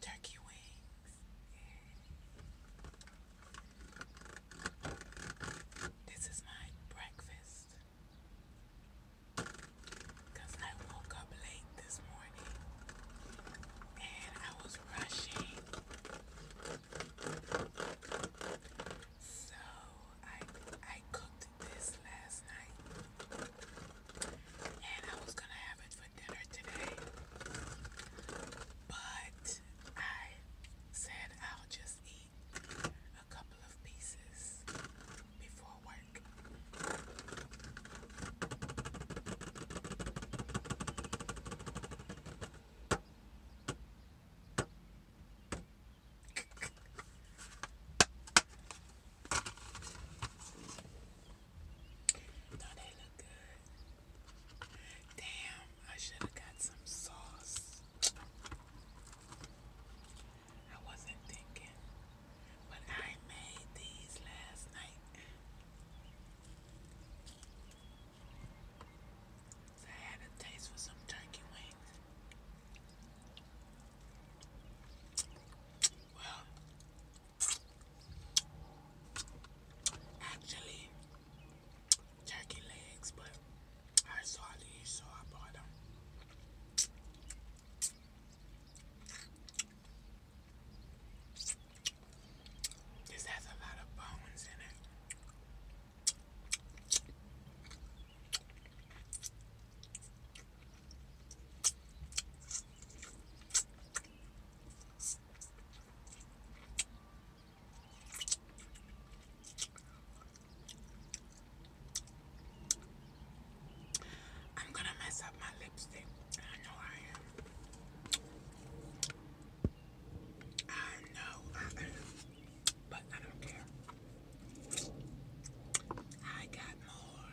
Turkey wings. Yeah. This is my breakfast. Because I woke up late this morning and I was rushing. So I I cooked this last night. And I was gonna have it for dinner today. But I said I'll just eat a couple of pieces before work. No, they look good. Damn, I should have got some sauce. I wasn't thinking, but I made these last night. I had a taste for some turkey wings. Well, actually, turkey legs, but I saw these, so I bought them. This has a lot of bones in it. I'm gonna mess up my lipstick. I know I am. I know I am, but I don't care. I got more.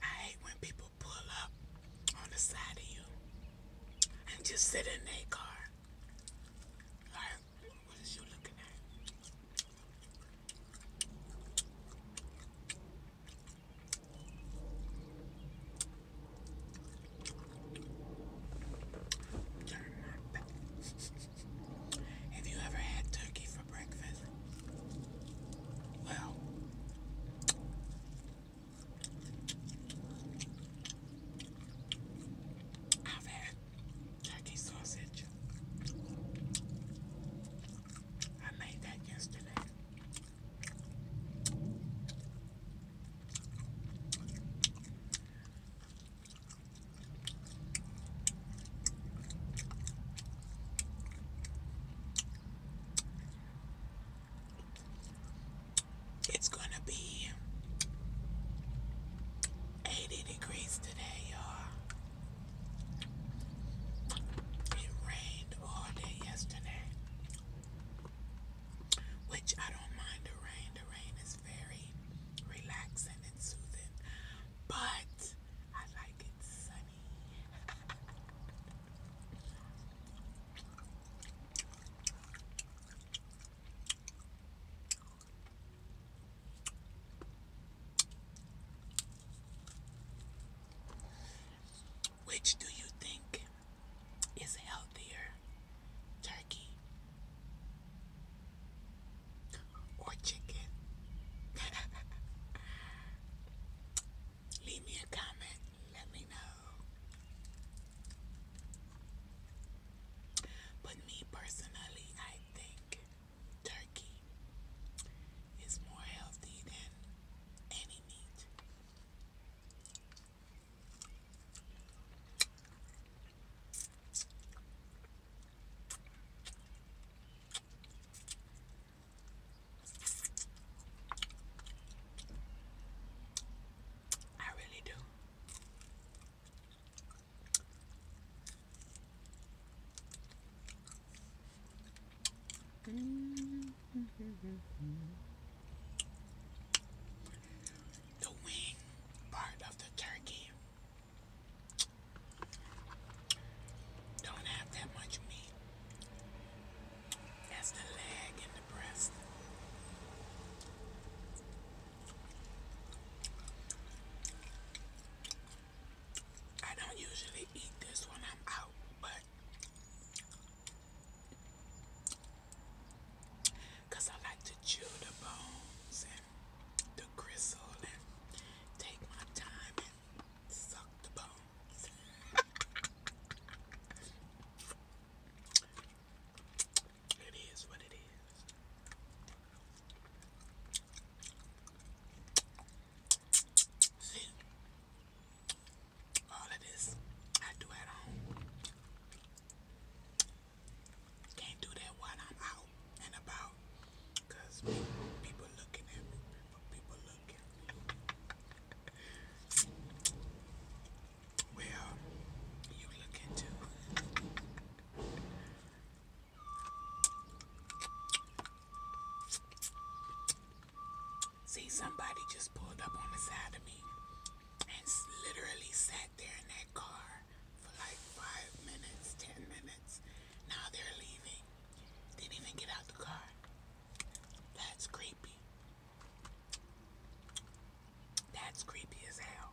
I hate when people pull up on the side of you and just sit in their car. Like, what is you looking at? Have you ever had turkey for breakfast? Well, I've had turkey sausage. I made that yesterday. It's going to be 80 degrees today, y'all. It rained all day yesterday which I don't mind the rain. The rain is very relaxing and soothing, but I like it sunny. Which do you think is healthier, turkey or chicken? Leave me a comment, let me know. But me personally, I think turkey is more healthy than any meat. I really do. Mm the wing part of the turkey don't have that much meat as the leg and the breast. I don't usually eat this when I'm out, but because I like to chew the bones and the gristle and take my time and suck the bones. it is what it is. All of this I do at home. Can't do that while I'm out and about people looking at me. People, people looking. well, you looking too. See, somebody just pulled up on the side of me and literally sat there in that car for like five minutes, ten minutes. Now they're leaving. Didn't even get out the car. That's creepy. That's creepy as hell.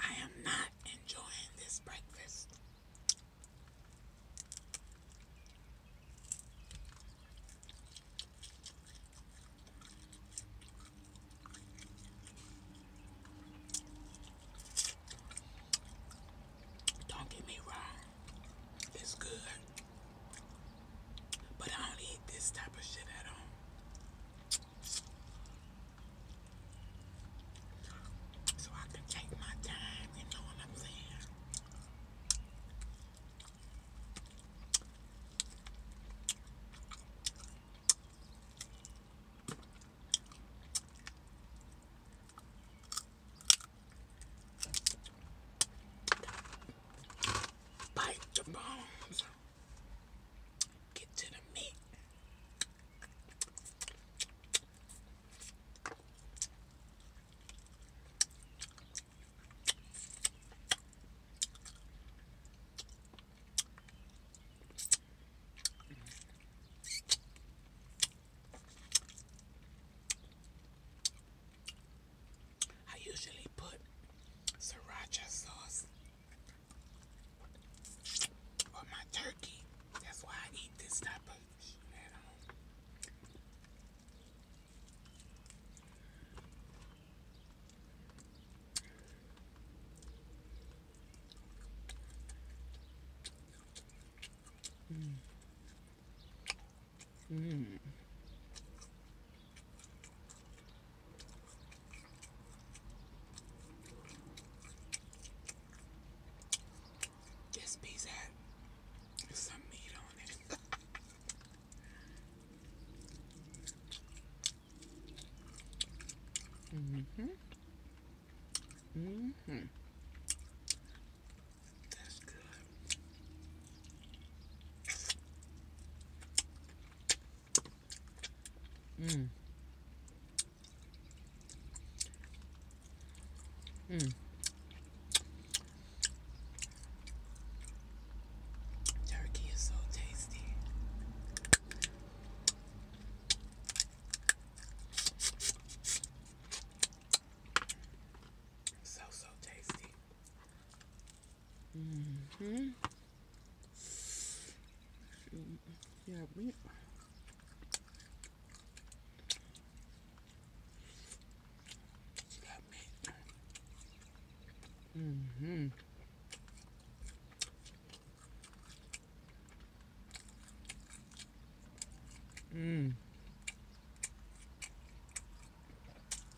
I am not enjoying this breakfast. Don't get me wrong, it's good, but I don't eat this type of shit at home so I can take my time, you know what I'm saying? Bite the bones. Get to the meat. I usually put sriracha sauce or my turkey. That's why I eat this type of shit at this piece had some meat on it. hmm hmm That's good. Mmm. Mm. Turkey is so tasty. So, so tasty. Mm-hmm. Yeah, we... Mm-hmm. hmm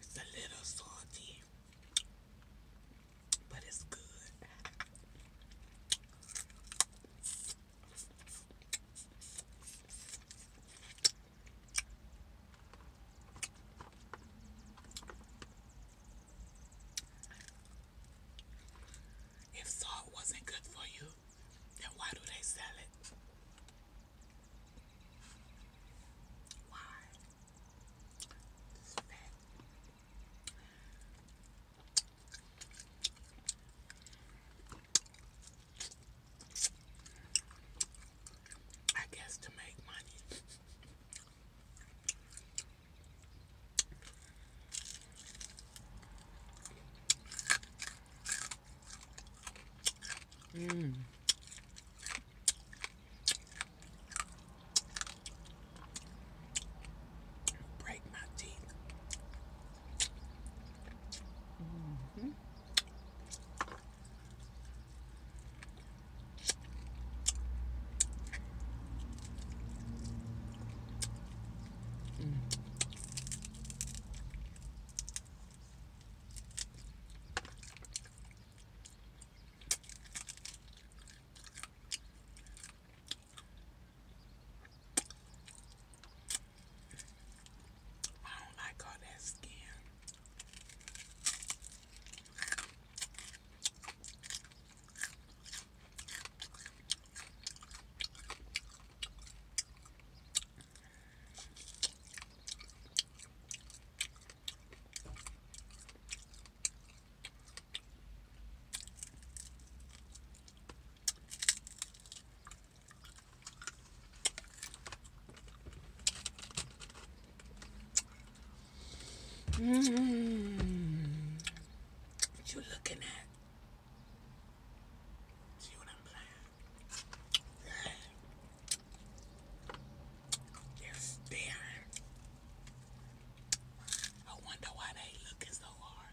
It's a little salty, but it's good. If salt wasn't good for you, then why do they sell it? Why? This I guess to make money. Mmm. Break my teeth. Mm -hmm. Mm. I don't like all that skin. Mm. What you looking at? See what I'm playing? They're staring. I wonder why they looking so hard.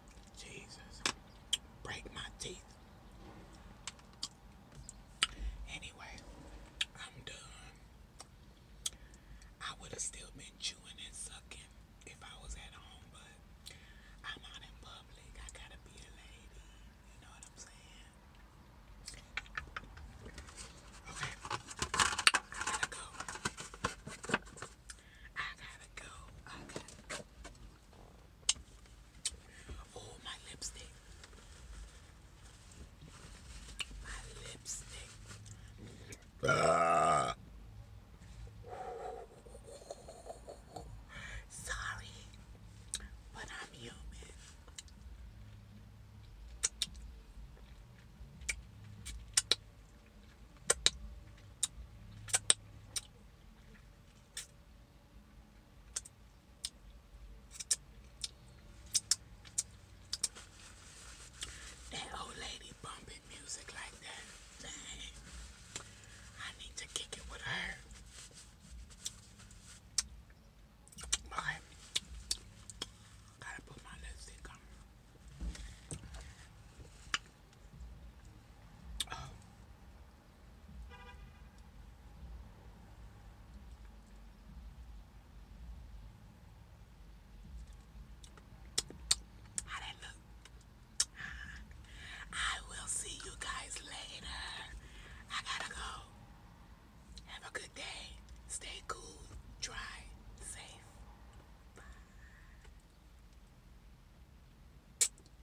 Jesus. Break my teeth. Anyway, I'm done. I would have still been chewing and sucking if I was at home, but I'm out in public. I gotta be a lady. You know what I'm saying? Okay. I gotta go. I gotta go. I Oh, my lipstick. My lipstick. Ah. Sorry, but I'm human. That old lady bumping music like that. Dang. I need to kick it with her. Okay. Gotta put my lipstick on. Oh. Ah, I will see you guys later. I gotta go. Have a good day. Stay cool, dry, safe. Bye.